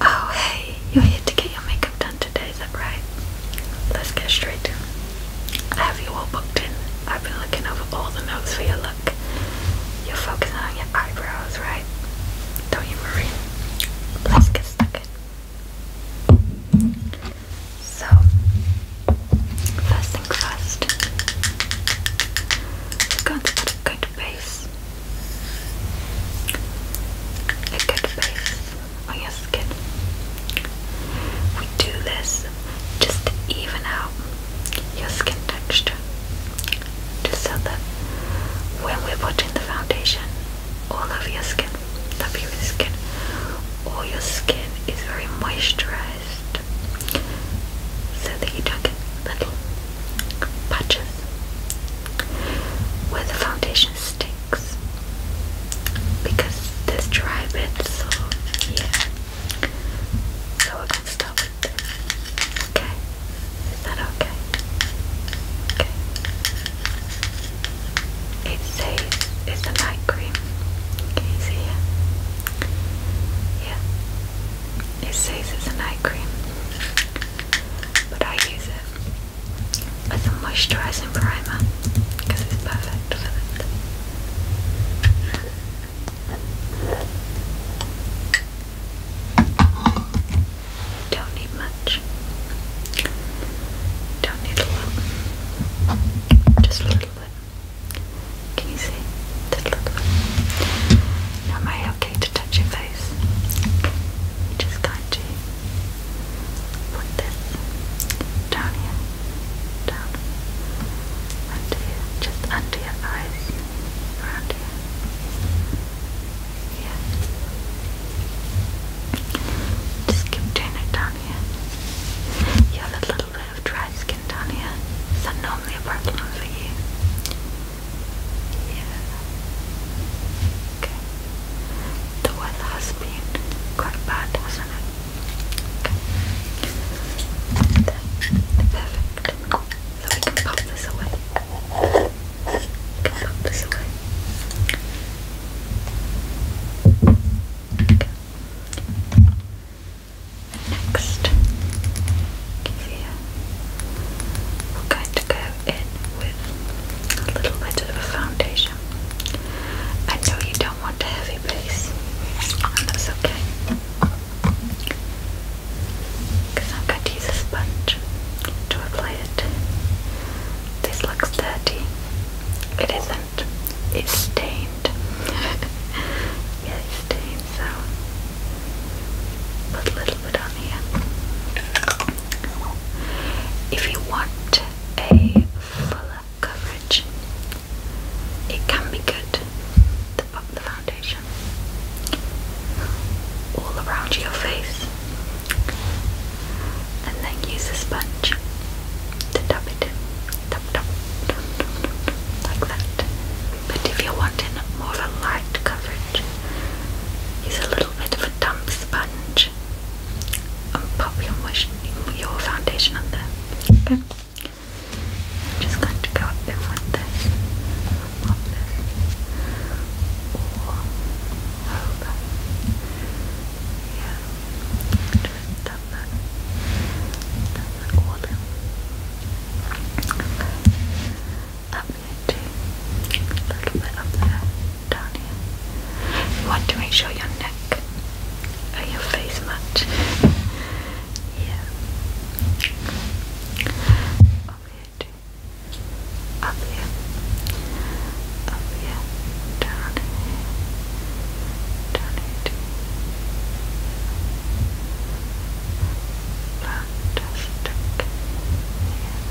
Oh, hey, you're here to get your makeup done today, is that right? Let's get straight to it. I have you all booked in. I've been looking over all the notes for your look. You're focusing on your eyebrows, right? Don't you worry. Let's get stuck in. So, first thing first, we're going a good base, a good base on your skin. We do this just to even out your skin texture, just so that when we're putting the foundation, all over your skin, the previous skin. All your skin is very moisturized so that you don't get little patches where the foundation sticks because there's dry bits, so yeah. So we're gonna start with this. Okay? Is that Okay it says it's a night cream. Can you see it? Yeah. It says it's a night cream. But I use it as a moisturizing primer because it's perfect for that. Don't need much. Don't need a lot. Just a little bit. Can you see? Just a little bit. am I okay to touch your face? just kind to put this down here. Down. Under here. Just under your eyes. Around here. Yeah. Just keep doing it down here. You have a little bit of dry skin down here. Is that normally a problem for you? Yeah. Okay. The weather has been quite bad, hasn't it? Okay. Perfect. So we can pop this away. can pop this away. Next, we're going to go in with a little bit of a foundation. I know you don't want a heavy base, and that's okay. Because I'm going to use a sponge to apply it. This looks dirty. It is it's stained. yeah, it's stained, so put a little bit on here. If you want a fuller coverage, it can be good to pop the foundation all around your face and then use a sponge to dab it Dab, dab, dab, dab, dab, like that. But if you're wanting more of a light coverage, use a little bit of a damp sponge and pop your, foundation on there. I'm just going to go in with this. Done. Done a little bit up there, down here. You want to make sure your neck and your face match. yeah. Up here Up here up here, down here, down here too. Yeah,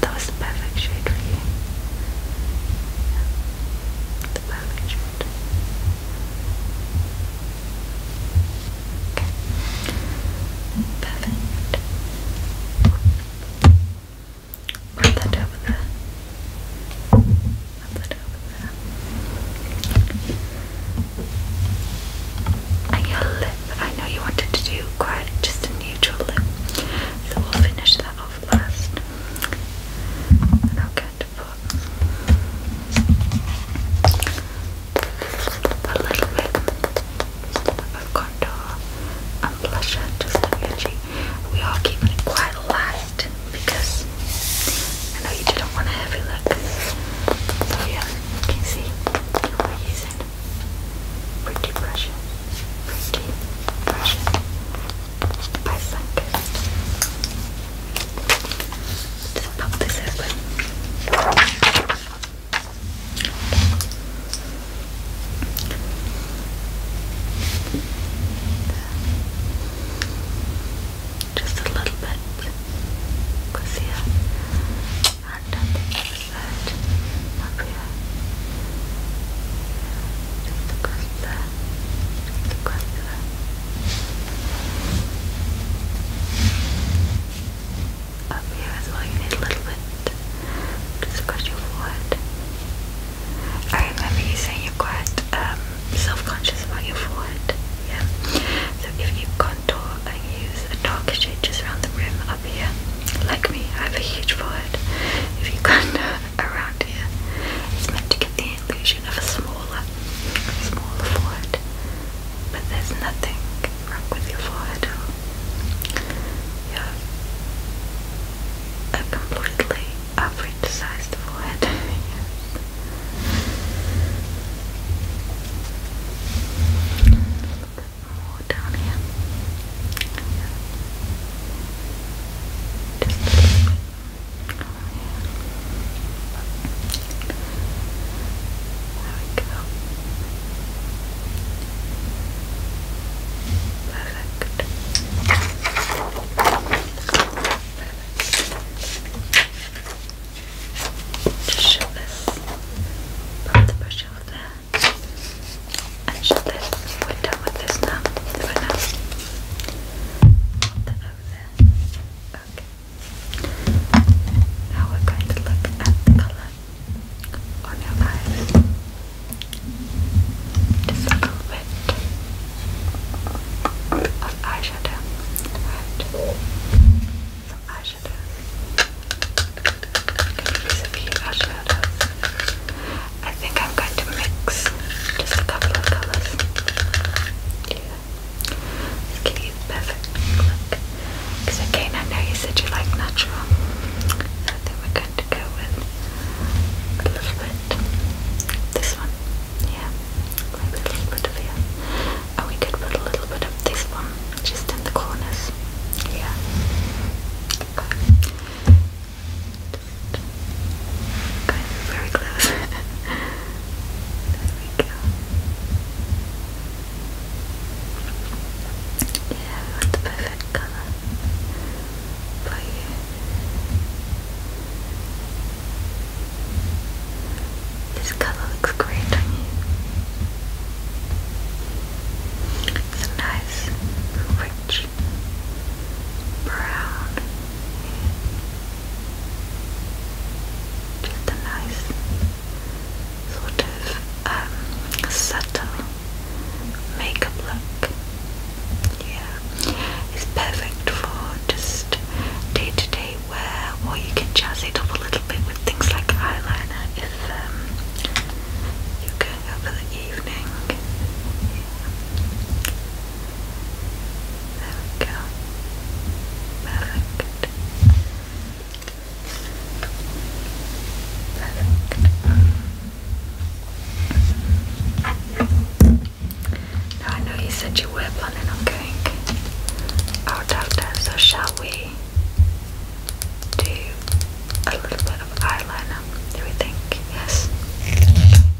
that was the perfect shade for you. the perfect shade. Perfect. Put that over there. Put that over there. And your lip, I know you wanted to do quite just a neutral lip, so we'll finish that off last. And I'll get to put just of contour and blusher just on your We are keeping it quite light because I know you didn't want a heavy look. So yeah, you can see we're using pretty brushes. Pretty brushes by Sunkist. Just pop this open. Just a little bit. Because and on the up here. Just across there. Just across there up here as well. You need a little bit just across your forehead. I remember you saying you're quite um, self-conscious about your forehead. Yeah. So if you contour and use a darker shade just around the rim up here, like me, I have a huge forehead. If you contour around here, it's meant to get the illusion of a smaller, smaller forehead. But there's nothing wrong with your forehead. You have a completely average sized forehead. yes. A little bit more down here. There we go. Perfect. Just shove this, pop the brush over there, and shut this. We're done with this now. For that over there. Okay. Now we're going to look at the colour on your eyes. Just of eyeshadow. Right. Some eyeshadow. Use a few I think I'm going to mix just a couple of colours. Yeah. Just you the perfect because again, I know you said you like natural. I we're going to go with a little bit. This one, yeah, maybe a little bit of here. And we could put a little bit of this one just in the corners. Yeah. very close. there we go. Yeah, perfect for you. This color looks great on you. It's a nice, rich brown. Just a nice sort of um, subtle makeup look. Yeah, it's perfect for just day to day wear, or you can jazz it up a little bit with things like eyeliner if um, you're going out for the evening. Yeah. Perfect. I know you said you were planning on going out after, so shall we do a little bit of eyeliner? Do we think? Yes. There we go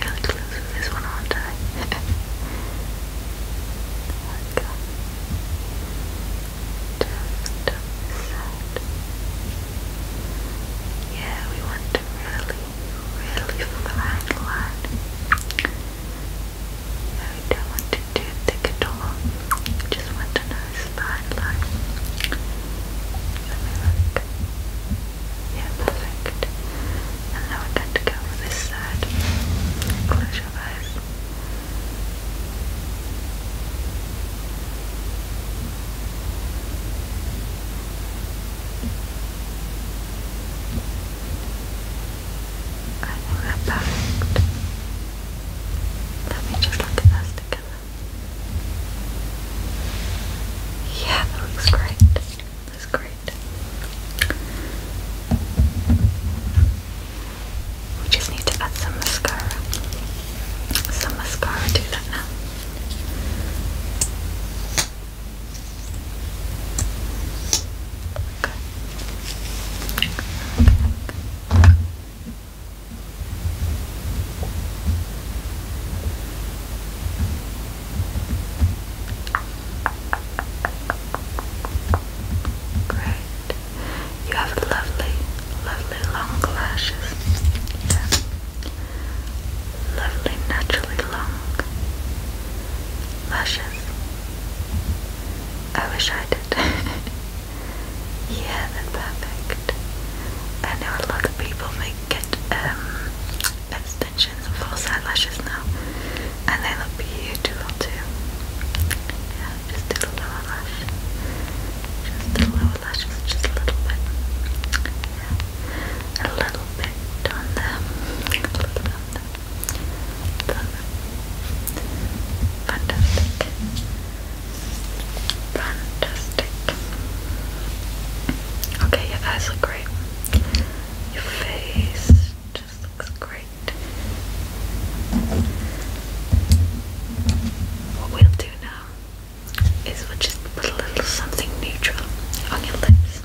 really close with this one, aren't I? okay. Just on Yeah, we want to really, really fine line. Yeah, we don't want to do thick at all. just want a nice fine line. Yeah, perfect. And now we're going to go over this side. Close your eyes. I think they perfect. Let me just look at those together. Yeah, that looks great. That's great. We just need to add some mascara. Some mascara do that now. Great. You have lovely, lovely long lashes. Yeah. Lovely, naturally long lashes. I wish I did. yeah, they perfect. I know a lot of people make it um, extensions and false eyelashes now, and they look beautiful too. Yeah, just do the lash, just the lower lashes, just a little bit, yeah, a little bit on them, a little bit on them. Fantastic. Fantastic. Okay, your eyes look your face just looks great. What we'll do now is we'll just put a little something neutral on your lips.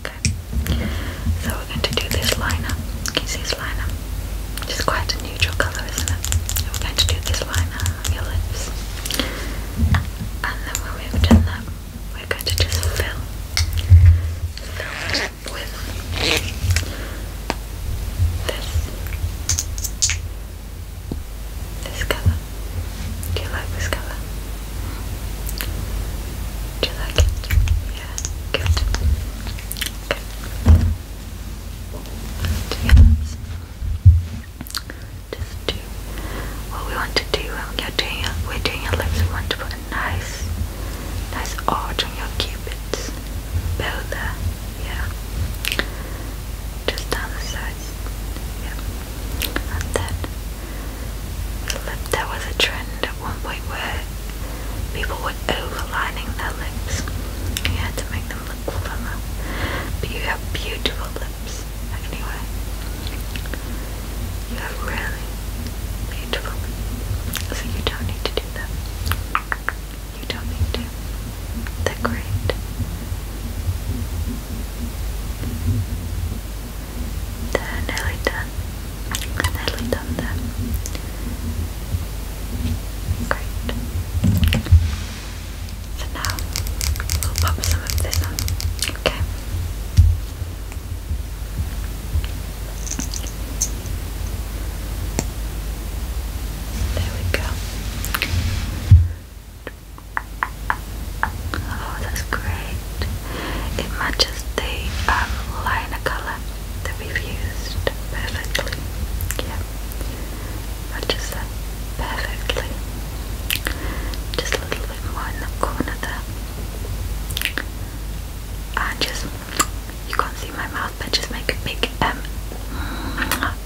Okay. So we're going to do this liner. Can you see this liner? It's quite a neutral colour, isn't it? we're going to do this liner on your lips. And then when we've done that, we're going to just fill, fill with this, this colour. Do you like this colour? Do you like it? Yeah, good. Okay. And the arms just do what we want to do when are doing your, we're doing your lips. We want to put a nice, nice arch on your cupid's Build there. Yeah, just down the sides. Yeah, and then lip. There was a trend at one point where people were overlining their lips. Yeah, to make them look firmer. But you have beautiful lips. Anyway, you have really beautiful. So you don't need to do them. You don't need to. they great. They're nearly done. nearly done there. Great. So now we'll pop some of this on. Okay. There we go. Oh, that's great. It matches the um, liner colour that we've used perfectly. Yeah, matches that perfectly. Just a little blue one over another. And just, you can't see my mouth, but just make a big M. Um,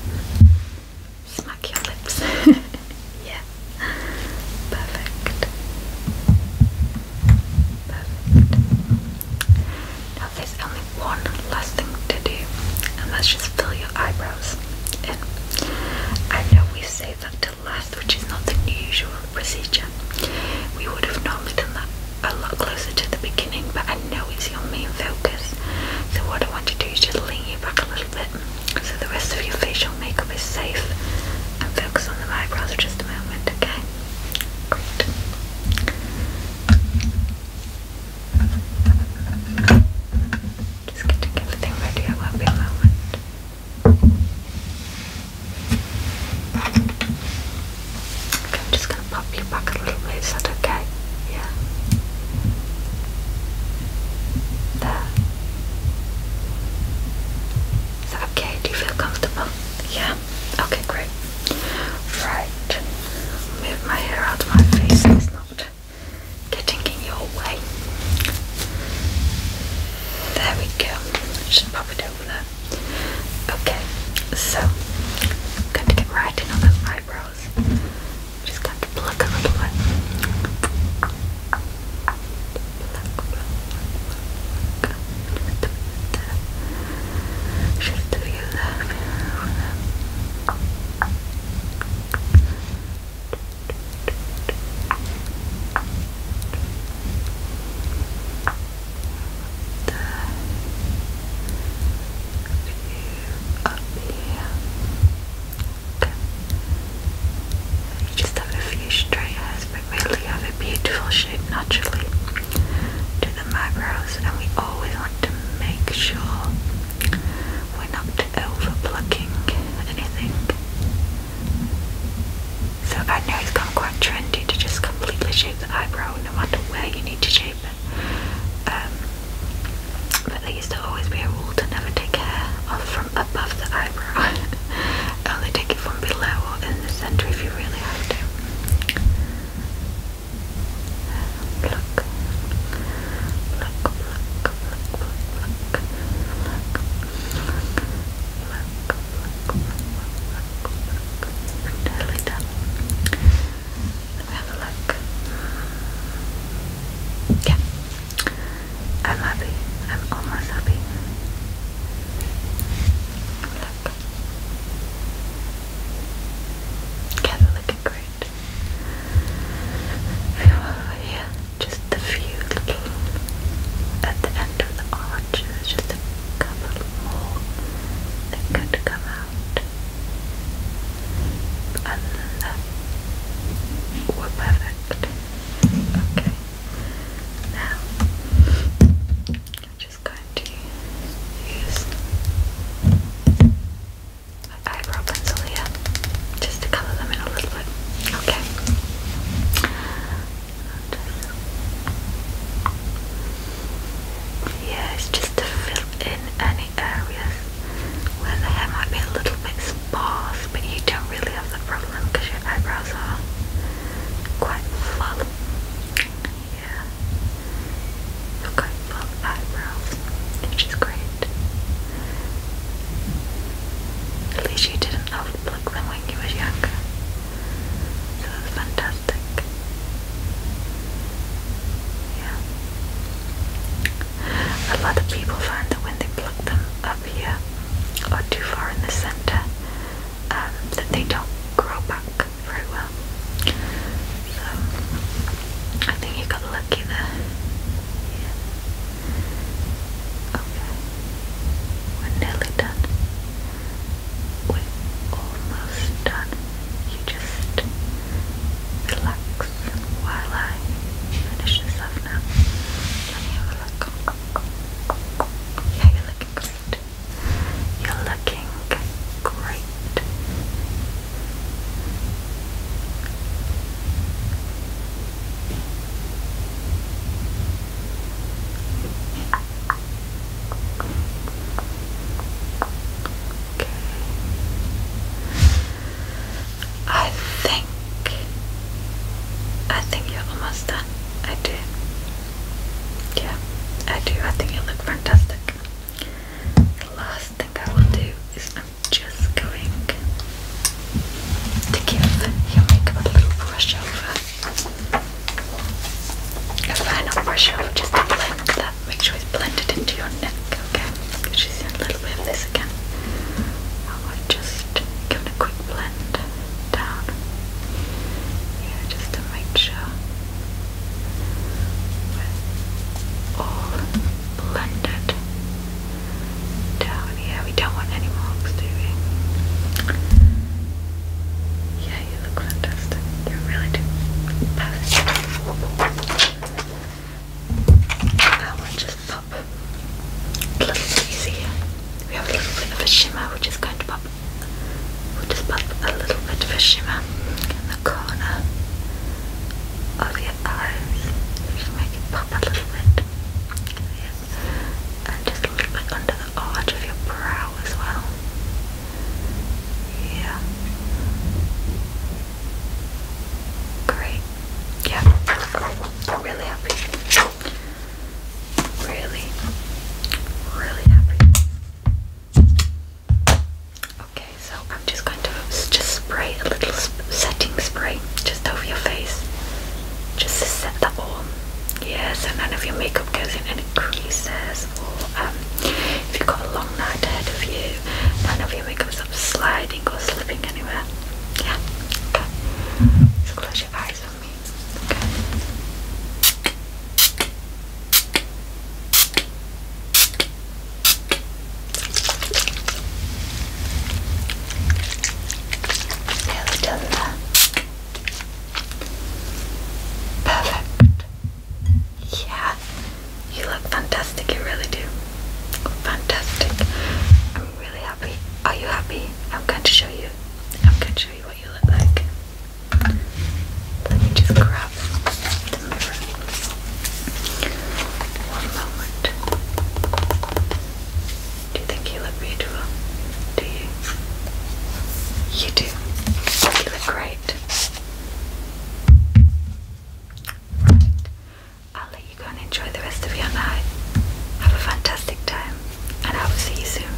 smack your lips. yeah, perfect. Perfect. Now there's only one last thing to do, and that's just fill your eyebrows in. I know we say that last, which is not the usual procedure. We would have normally done that a lot closer to the beginning, but I know it's your main focus. So what I want to do is just lean you back a little bit so the rest of your facial makeup is safe and focus on the eyebrows for just a moment, okay? Great. Okay. Just getting everything ready, it won't be a moment. I'm just going to pop you back a little bit, is that okay? Yeah. There. Is that okay? Do you feel comfortable? Yeah? Okay, great. Right. Move my hair out of my face, it's not getting in your way. There we go. Should pop it over there. Okay, so i to get right in on those eyebrows. just going to pluck a little bit. Should do you love? Pluck, pluck, pluck, pluck, up here. Okay. You just have a few stray hairs, but really have a beautiful shape naturally to the eyebrows, and we always want to make sure we're not over plucking anything. So I know it's has quite trendy to just completely shave the eyebrow no matter where you need to shave it. Um, but there used to always be a rule to never take hair off from above the eyebrow. Only take it from below or in the centre if you really have to. Pluck, pluck, pluck, pluck, pluck, pluck, pluck, look, totally done. Let me have a look. Yeah, I'm happy. I'm almost happy. Look. Yeah, looking great. Over here just a few little at the end of the arches, just a couple more that could come out. Other than are perfect. Okay. Now I'm just going to use my eyebrow pencil here just to colour them in a little bit okay. Yeah, it's just to fill in any areas where the hair might be a little bit sparse, but you don't really have that problem because your eyebrows are quite full. Yeah, you full eyebrows, which is great. At least you didn't have soft look when you was younger. So that's fantastic. Yeah. A lot of people find that when they pluck them up here or too far in the center, um, that they don't grow back very well. So I think you got lucky there. Yeah. Okay. We're nearly done. We're almost done. You just relax while I finish this off now. Let me have a look. Yeah, you're looking great. You're looking great. I think I think you're almost done. I do. Yeah, I do. I think you look fantastic. The last thing I will do is I'm just going to give your makeup a little brush over. A final brush over just to blend that. Make sure it's blended into your neck, okay? Because a little bit of this again. just give a quick blend down. Yeah, just to make sure we're all blended down here. We don't want any marks, do we? Yeah, you look fantastic. You really do. Perfect. I just pop a little We have a little bit of a shimmer, which is going to pop. We'll just pop a little bit of shimmer in the corner of your eyes. Just make it pop a little bit and just a little bit under the arch of your brow as well. Yeah. Great. Yeah. really happy. Really, really happy. Okay, so I'm just going to just spray a little setting spray just over your face, just to set the all Yes, and none of your makeup goes in any creases or um, if you've got a long night ahead of you none of your makeup's up sliding or slipping anywhere yeah so close your eyes on me okay yeah, Perfect. Yeah, you look fantastic, you really do. Fantastic. I'm really happy. Are you happy? I'm going to show you. I'm going to show you what you look like. Let me just grab the mirror. One moment. Do you think you look beautiful? Do you? You do. You look great. I'll let you go and enjoy the rest of your night. Have a fantastic time, and I will see you soon.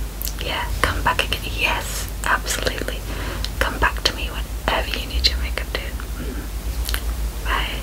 Yeah, come back again. Yes, absolutely. Come back to me whenever you need your makeup done. Mm-hmm. Bye.